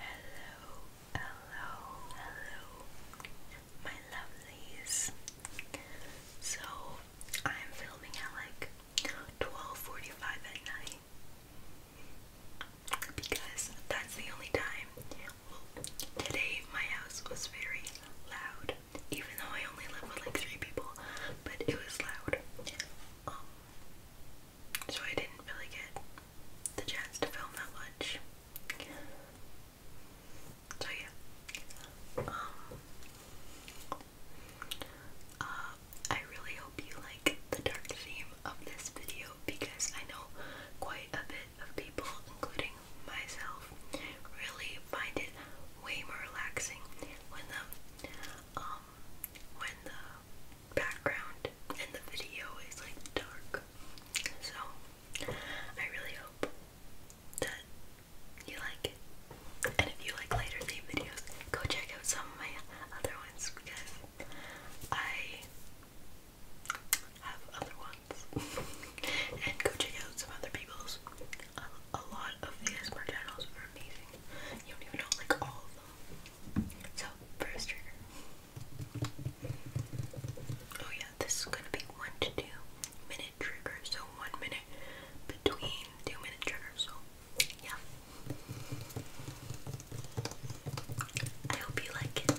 Hello, hello, hello, my lovelies. So I'm filming at like 12:45 at night because that's the only time. today my house was very loud, even though I only live with like three people, but it was loud. Um, so I didn't really get the chance to film that much. So yeah. Um uh, I really hope you like the dark theme of this video because I know quite a bit of people, including myself, really find it way more relaxing when the um when the background and the video is like dark. So I really hope that you like it. And if you like lighter theme videos, go check out some of my other ones because I have other ones. and go check out some other people's. A, lot of the ASMR channels are amazing. You don't even know like all of them. So first trigger. Oh yeah, this is gonna be one to two minute trigger, so one minute between two minute triggers, so yeah. I hope you like it.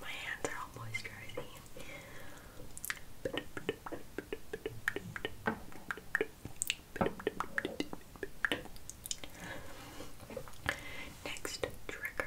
My hands are all moisturizing. Next trigger.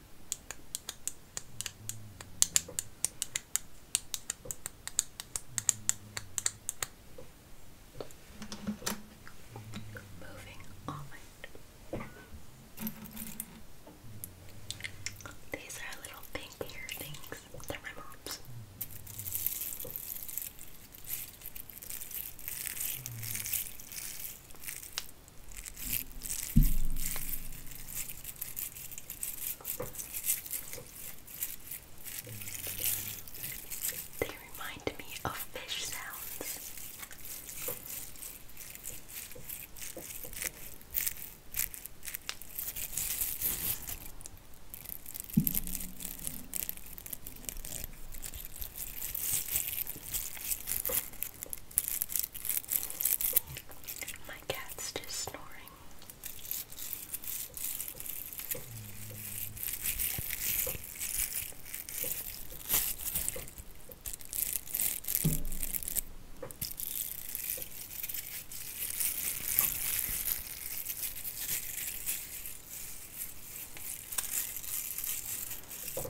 Moving on. These are little pink things. They're they remind me of fish sounds. My cat's just snoring.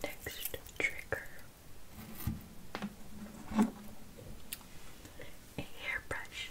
Next trigger a hairbrush.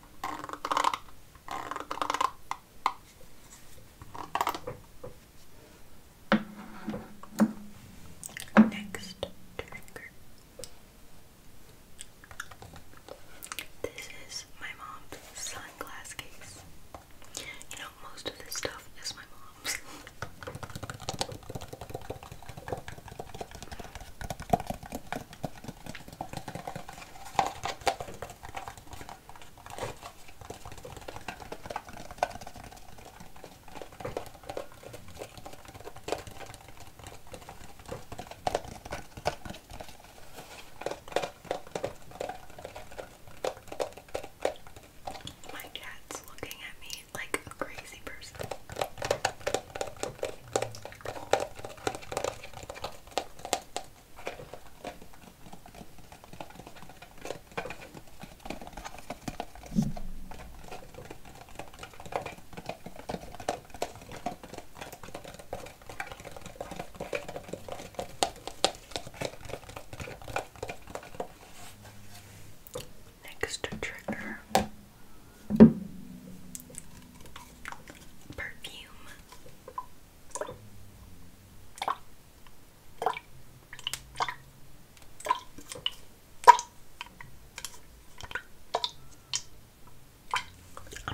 Next This is my mom's sunglass You know, most of this stuff is my mom's. My cat's looking at me like a crazy person. Next trigger perfume. I'm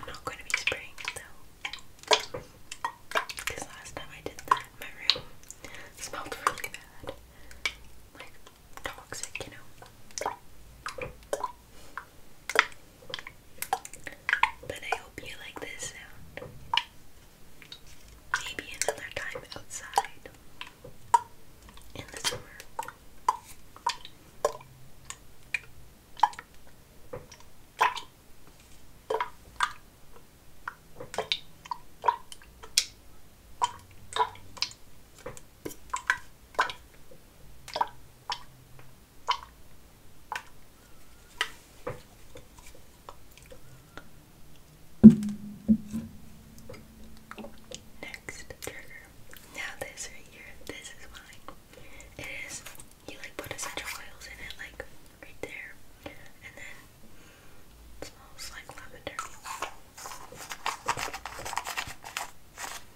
not going to be spraying though. Because last time I did that, my room smelled really bad. Like toxic, you know. But I hope you like this sound. Maybe another time outside in the summer. Next trigger. Now this right here, this is mine. It is you like put essential oils in it, like right there, and then smells like lavender.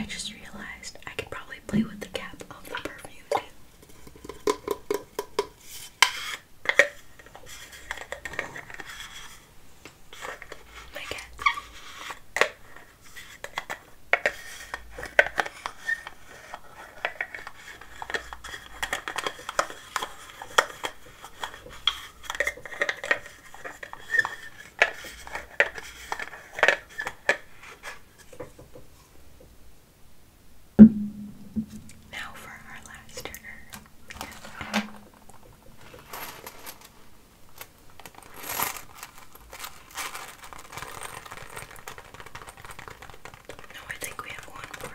I just realized I could probably play with the cap of the perfume too. My cat. Now for our last turner. No, I think we have one more.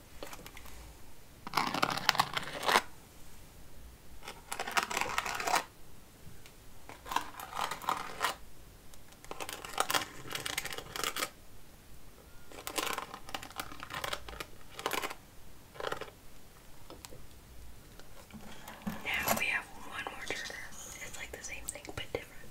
Now we have one more trigger. It's like the same thing but different.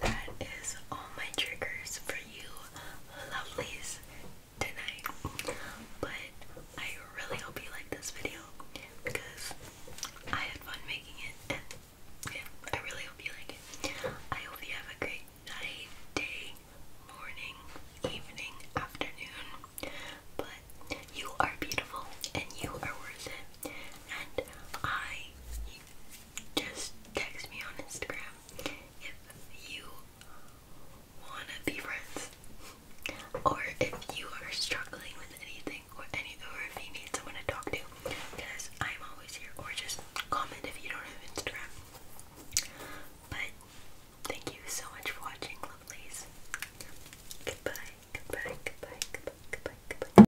That is all my triggers for you lovelies tonight. But I really hope you like this video because I had fun making it and I really hope you like it. I hope you have a great night, day, morning, evening, afternoon. But you are beautiful and you are worth it. And I just text me on Instagram if you want to be friends or if you are struggling with anything or any or if you need someone to talk to because I'm always here or just comment if you don't have Instagram but thank you so much for watching lovelies goodbye goodbye goodbye goodbye goodbye goodbye